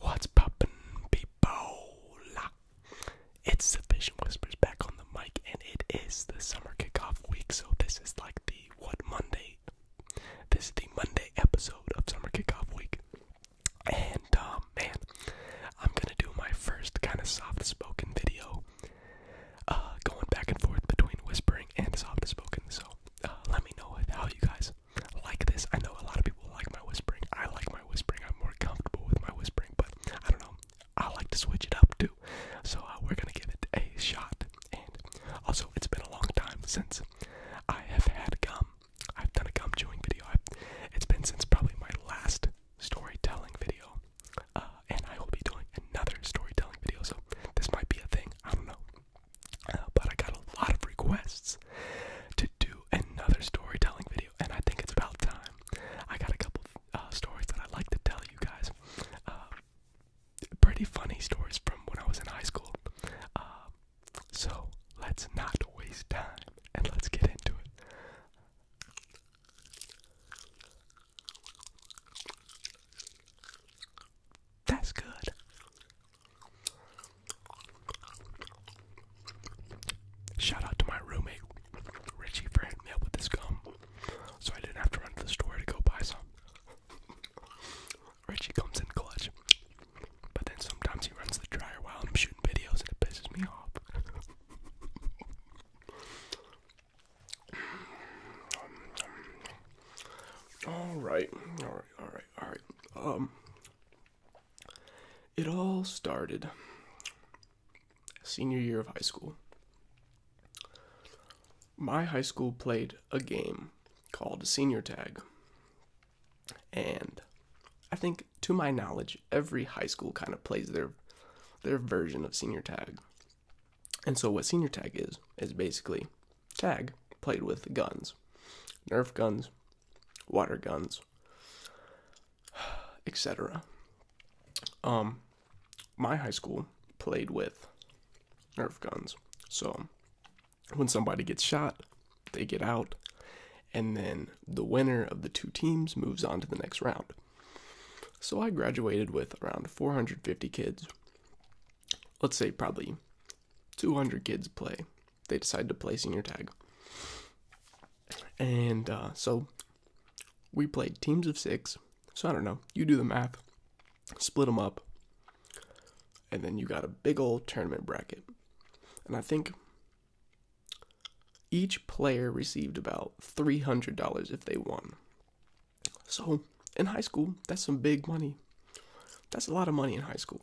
What's poppin', people? It's the Vision Whispers back on the mic, and it is the summer kickoff week, so this is like the what Monday? This is the Monday episode of summer kickoff week, and um, man, I'm gonna do my first kind of soft-spoken video, uh, going back and forth between whispering and soft-spoken. So uh, let me know how you guys like this. I know a lot of people like my whispering. I like my whispering. I'm more comfortable with my whispering, but I don't know. I like to switch it up too. So uh, we're gonna give it a shot. And also, it's been a long time since I have had gum. I've done a gum chewing video. it's been since probably my last storytelling video. Uh, and I will be doing another storytelling video, so this might be a thing. I don't know. Uh, but I got a lot of requests to do another storytelling video, and I think it's about time. I got a couple uh, stories that I'd like to tell you guys. Uh, pretty funny stories from when I was in high school. so let's not waste time and let's get into it. That's good. Shout out to my roommate, Richie, for helping me up with this gum. So I didn't have to run to the store to go buy some. Richie comes in clutch. But then sometimes he runs the dryer while I'm shooting videos and it pisses me off. Alright, alright, alright all right. Um, it all started senior year of high school. My high school played a game called Senior Tag, and I think, to my knowledge, every high school kind of plays their their version of Senior Tag. And so, what Senior Tag is is basically Tag played with guns, Nerf guns, water guns, etc. Um, my high school played with Nerf guns. So when somebody gets shot, they get out, and then the winner of the two teams moves on to the next round. So I graduated with around 450 kids. Let's say probably 200 kids play they decide to place in your tag. And uh, so we played teams of six. So I don't know. You do the math, split them up, and then you got a big old tournament bracket. And I think each player received about $300 if they won. So in high school, that's some big money. That's a lot of money in high school.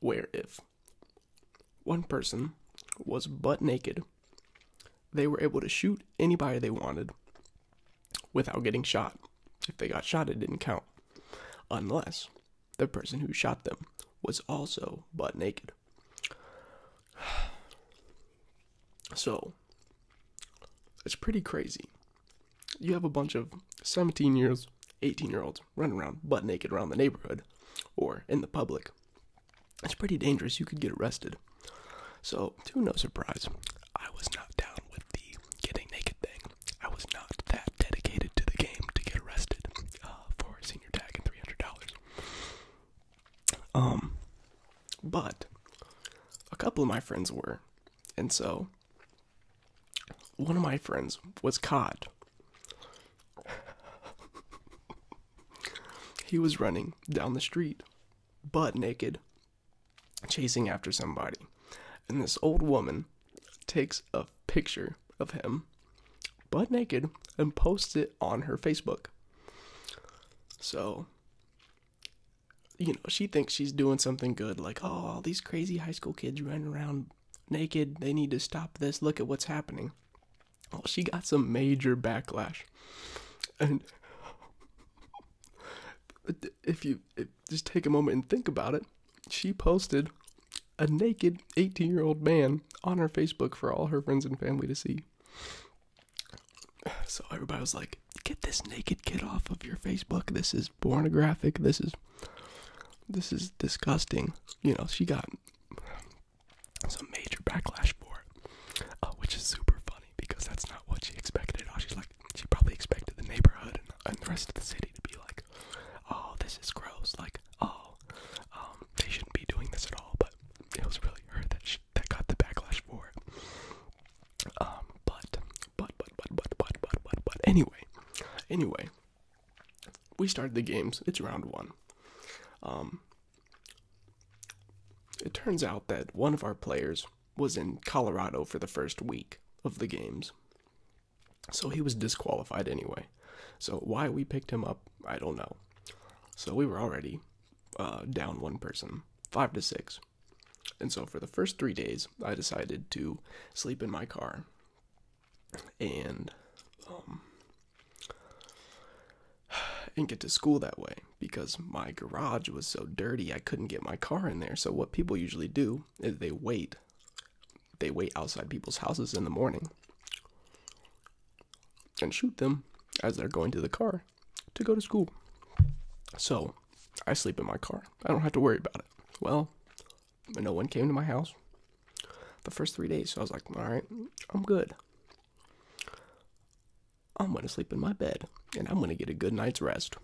where if one person was butt naked, they were able to shoot anybody they wanted without getting shot. If they got shot, it didn't count, unless the person who shot them was also butt naked. So, it's pretty crazy. You have a bunch of 17 years, 18 year olds Run around butt naked around the neighborhood or in the public. It's pretty dangerous. You could get arrested. So, to no surprise, I was not down with the getting naked thing. I was not that dedicated to the game to get arrested uh, for a senior tag and three hundred dollars. Um, but a couple of my friends were, and so one of my friends was caught he was running down the street, butt naked, chasing after somebody. And this old woman takes a picture of him, butt naked, and posts it on her Facebook. So, you know, she thinks she's doing something good, like, oh, all these crazy high school kids running around naked. They need to stop this. Look at what's happening. Oh, she got some major backlash. And if you just take a moment and think about it, she posted a naked 18 year old man on her Facebook for all her friends and family to see. So everybody was like, get this naked kid off of your Facebook. This is pornographic. This is this is disgusting. You know, she got some major backlash for it, uh, which is super funny because that's not what she expected. at all. she's like, she probably expected the neighborhood and, and the rest of the city to be like, oh, this is gross. Like, oh, um, they shouldn't be doing this at all. But it was really her that she, that got the backlash for it. Um, but, but, but, but, but, but, but, but, but, anyway, anyway, we started the games. It's round one. Um, it turns out that one of our players was in Colorado for the first week of the games. So he was disqualified anyway. So why we picked him up, I don't know. So we were already uh, down one person, five to six. And so for the first three days, I decided to sleep in my car and um, didn't get to school that way because my garage was so dirty I couldn't get my car in there. So what people usually do is they wait. They wait outside people's houses in the morning and shoot them as they're going to the car to go to school. So I sleep in my car. I don't have to worry about it. Well, but no one came to my house the first three days. So I was like, all right, I'm good. I'm going to sleep in my bed and I'm going to get a good night's rest.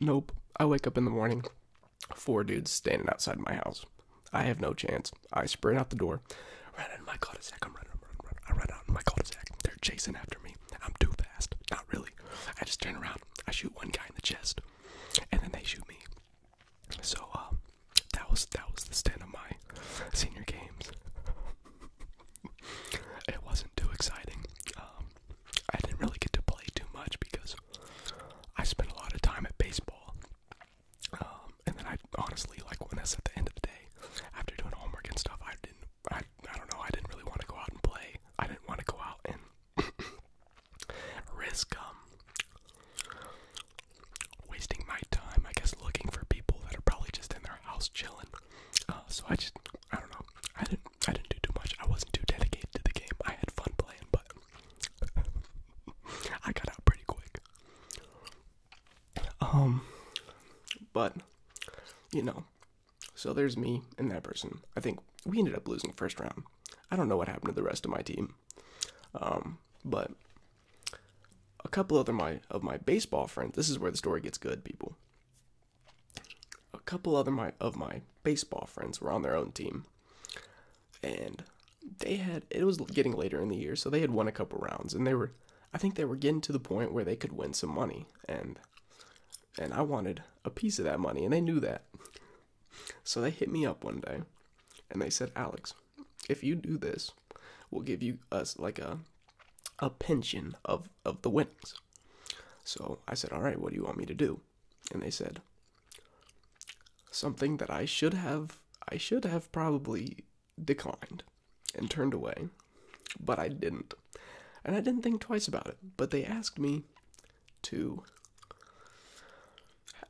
Nope. I wake up in the morning, four dudes standing outside my house. I have no chance. I sprint out the door, run in my cul-de-sac. I'm running, running, I run out of my cul-de-sac. They're chasing after me. I'm too fast. Not really. I just turn around. I shoot one guy in the chest, and then they shoot me. So um, that was that was the stint of my senior games. it wasn't too exciting. Um, I didn't really get to play too much because I spent a lot of time at baseball. Um, and then I honestly, like when that's at the end of the day, after doing homework and stuff, I didn't. I I don't know. I didn't really want to go out and play. I didn't want to go out and risk um wasting my time, I guess, looking for people that are probably just in their house chilling. Uh, so I just, I don't know. I didn't, I didn't do too much. I wasn't too dedicated to the game. I had fun playing, but I got out pretty quick. Um, but you know, so there's me and that person. I think we ended up losing first round. I don't know what happened to the rest of my team. Um, but a couple other my of my baseball friends. This is where the story gets good, people. A couple other my of my baseball friends were on their own team, and they had it was getting later in the year, so they had won a couple rounds, and they were I think they were getting to the point where they could win some money, and and I wanted a piece of that money, and they knew that, so they hit me up one day, and they said, Alex, if you do this, we'll give you us like a a pension of of the winnings. So I said, all right, what do you want me to do? And they said something that I should have I should have probably declined and turned away, but I didn't. And I didn't think twice about it, but they asked me to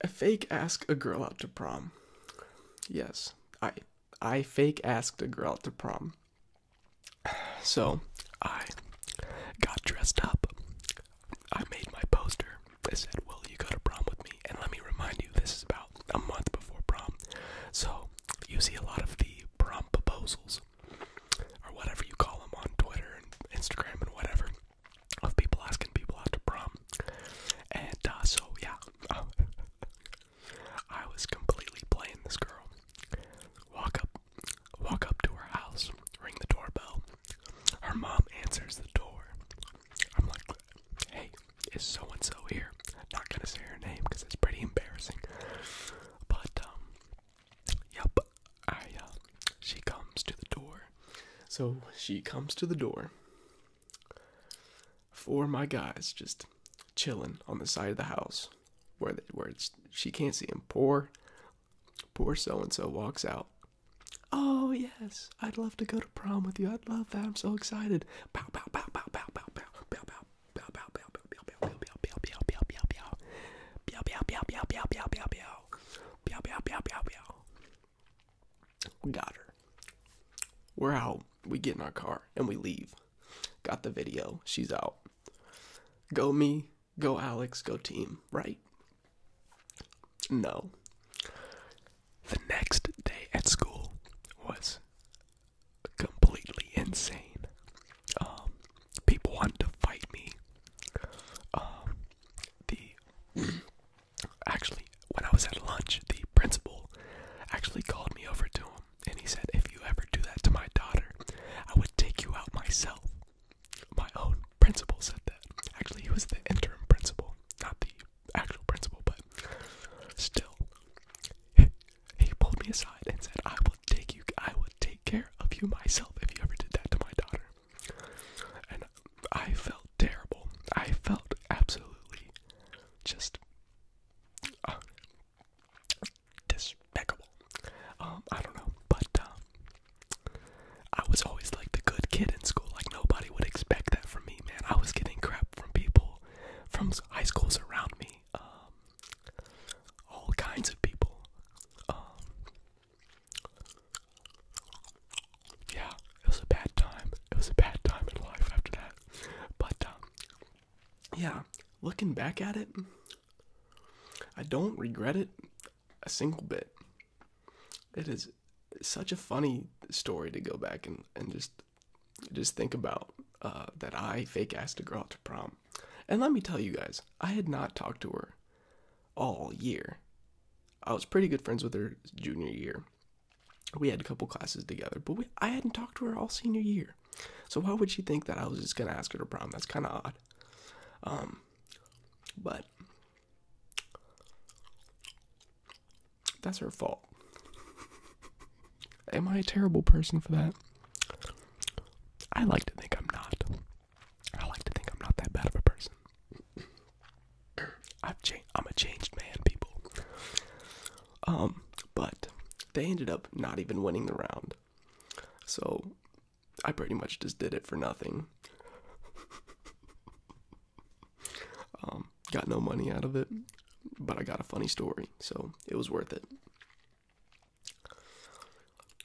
I fake ask a girl out to prom. Yes, I I fake asked a girl out to prom. So I got dressed up. I made my poster. I said, Will you go to prom with me? And let me remind you, this is about a month before prom. So you see a lot of the prom proposals, or whatever you call them on Twitter and Instagram and whatever of people asking people out prom. And uh, so, yeah, I was completely playing this girl. Walk up, walk up to her house, ring the doorbell. Her mom answers the door. I'm like, hey, is so and so here? not gonna say her name because it's pretty embarrassing. But um, yep, I uh, she comes to the door. So she comes to the door for my guys just chilling on the side of the house where where it's, she can't see them. Poor, poor so and so walks out. Oh yes, I'd love to go to prom with you. I'd love that. I'm so excited. We got her. We're out. We get in our car and we leave. Got the video. She's out. Go me, go Alex, go team, right? No. The next day at school was completely insane. Um, people wanted to fight me. Um, the Actually, when I was at lunch, the principal actually called me over to him and he said, If you ever do that to my daughter, I would take you out myself. My own principal said that. Actually, he was the interim principal, not the actual principal, but still. He pulled me aside and said, I will take you, I will take care of you myself if you ever did that to my daughter. I felt terrible. I felt absolutely just uh, despicable. Um, I don't know, but um, I was always like the good kid in school. Like nobody would expect that from me, man. I was getting crap from people from high schools around me. Um, all kinds of people yeah, it was a bad time. It was a bad time in life after that. But um, yeah, looking back at it, I don't regret it a single bit. It is such a funny story to go back and, and just just think about uh, that I fake asked a girl out to prom. And let me tell you guys, I had not talked to her all year. I was pretty good friends with her junior year we had a couple classes together, but I hadn't talked to her all senior year. So why would she think that I was just gonna ask her to prom? That's kind of odd. Um, but that's her fault. Am I a terrible person for that? I like to think I'm not. I like to think I'm not that bad of a person. I've changed. I'm a changed man, people. Um, but they ended up not even winning the round, so I pretty much just did it for nothing. um, got no money out of it, but I got a funny story, so it was worth it.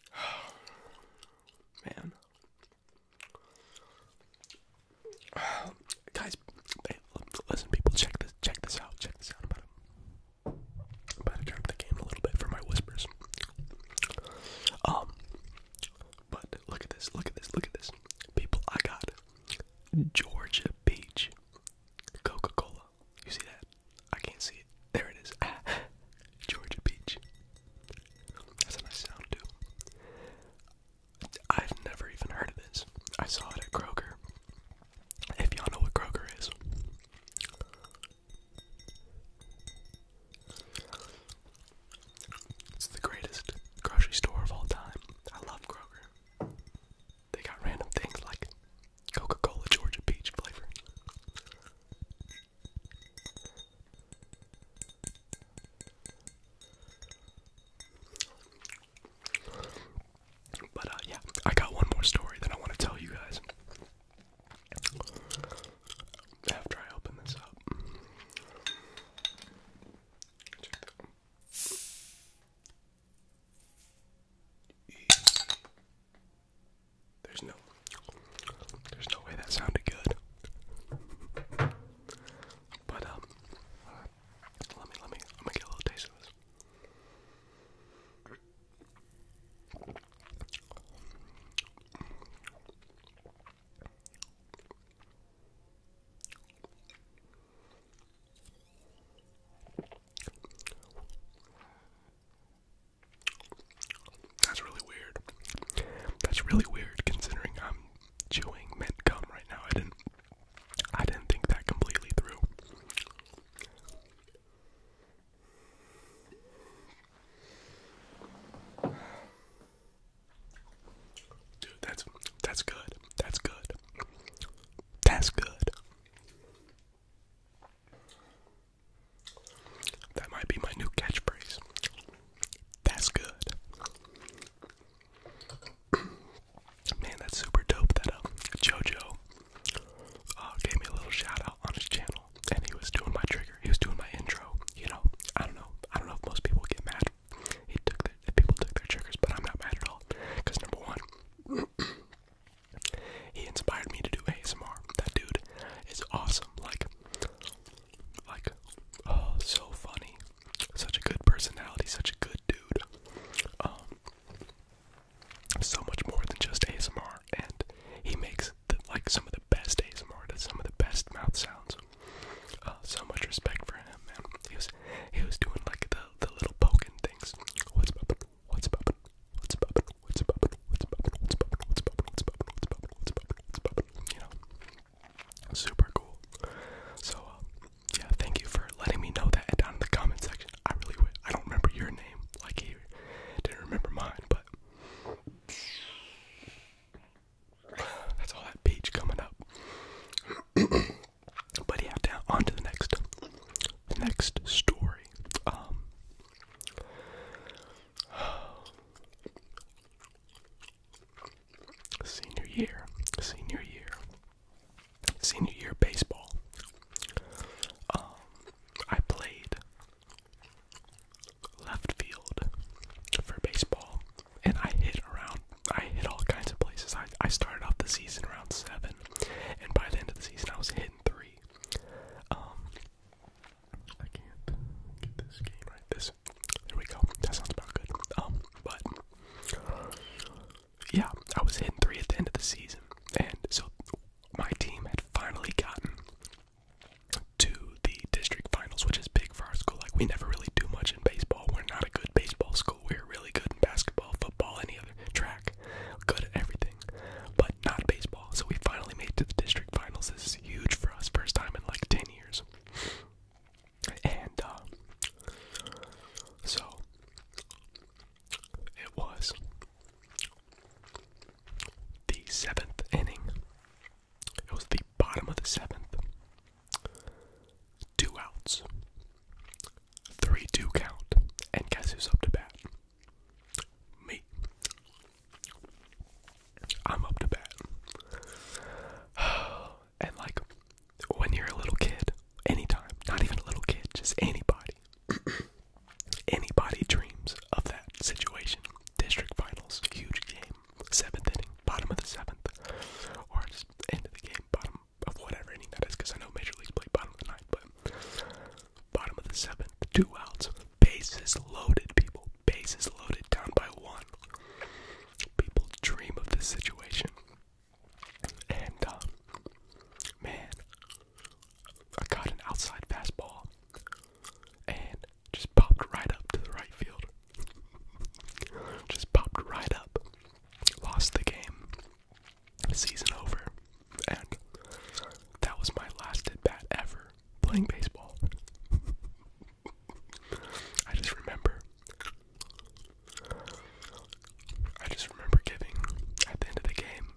Man, guys, listen, people, check this, check this out, check this out. I'm about to turn up the game a little bit for my whispers. Um, but look at this, look at this, look at this, people. I got Georgia Peach Coca-Cola. You see that? I can't see it. There it is. Georgia Peach. That's a nice sound too. I've never even heard of this. I saw it at Kroger. If y'all know what Kroger is. It's the greatest grocery store of all time. I love Kroger. They got random things like Coca-Cola Georgia peach flavor. But uh, yeah, I got one more story that I want to tell you guys after I open this up. There's no, there's no way that sounded good. But um, let me, let me, let me get a little taste of this. That's really weird. That's really weird considering I'm chewing mint gum right now. I didn't I didn't think that completely through. Dude, that's that's good. That's good. That's good. That might be my new catchphrase. That's good. Man, that's super dope that um, JoJo uh, gave me a little shout out on his channel and he was doing my trigger. He was doing my intro. You know, I don't know. I don't know if most people get mad. He took the, people took their triggers, but I'm not mad at all. Because number one, he inspired me to do ASMR. That dude is awesome. Like, like, oh, so funny. Such a good personality. Such a good dude. Um, so much more than just ASMR, and he makes the, like some of the best ASMR, some of the best mouth sounds. Uh, so much respect for him, man. He was he was doing like the the little poking things. What's poppin'? What's poppin'? What's poppin'? What's poppin'? What's poppin'? What's poppin'? What's poppin'? What's poppin'? What's poppin'? What's poppin'? What's poppin'? You know, Super cool. So, um, yeah, thank you for letting me know that down in the comment section. I really I don't remember your name, like he didn't remember mine, but that's all that peach coming up. but yeah, down on to the next, next story. Um. Senior year, senior year, senior year baseball. Um, I played left field for baseball, and I hit around. I hit all kinds of places. I I started off the season around seven, and by the end of the season, I was hitting three. Um, I can't get this game right. This. There we go. That sounds about good. Um, but yeah, I was hitting three at the end of the season, and so my team had finally gotten to the district finals, which is big for our school. Like we never really do much in baseball. We're not a good baseball school. We're really good in basketball, football, any other track, good at everything, but not baseball. So we finally made it to the district finals. This is huge for us, first time in like ten years and uh, so it was the seventh inning. It was the bottom of the seventh. Two outs. 3 2 count. And guess who's up to bat? Me. I'm up to bat. Oh, and like when you're a little kid, anytime, not even a little kid, just anybody, anybody dreams of that situation. District finals, huge game, seventh inning, bottom of the seventh, or just end of the game, bottom of whatever inning that is, because I know Major League play bottom of the ninth, but bottom of the seventh, two outs, bases loaded, people, bases loaded, down by one. People dream of this situation. And, um, man, I got an outside fastball and just popped right up to the right field. just popped right up. Lost the game. Season over. And that was my last at bat ever playing baseball. I just remember I just remember giving at the end of the game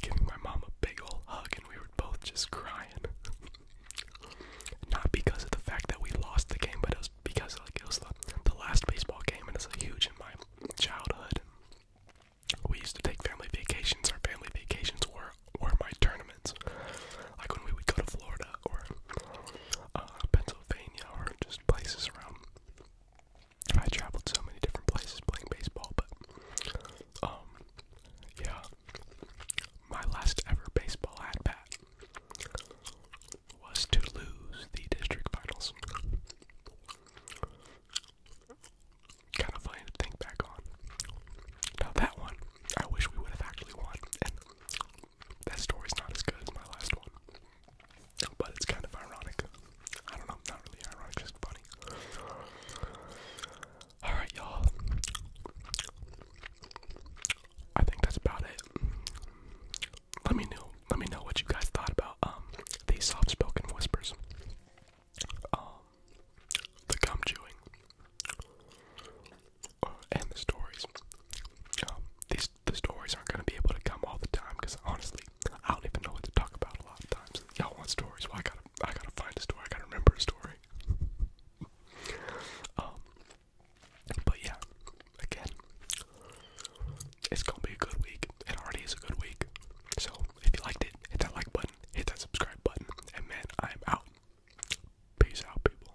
giving my mom a big old hug and we were both just crying. Not because of the fact that we lost the game, but it was because like it was the, the last baseball game and it's a huge in my childhood. We used to take family vacations. Our family vacations were were my tournaments. Like when we would go to Florida or uh, Pennsylvania or just places around. I traveled so many different places playing baseball, but um, yeah, my last ever baseball at bat was to lose the district finals. Kind of funny to think back on. Now that one, I wish we would have actually won, that story's not as good as my last one. But it's kind of ironic. I don't know, not really ironic, just funny. Alright, y'all. I think that's about it. Let me know let me know what you guys thought about um these soft spoken whispers. Um the gum chewing and the stories. Um, these the stories aren't going to be able to come all the time because honestly, I don't even know what to talk about a lot of times. Y'all want stories? Well, I gotta I gotta find a story. I gotta remember a story. um, but yeah, again, it's gonna be a good week. It already is a good week. So if you liked it, hit that like button, hit that subscribe button, and man, I'm out. Peace out, people.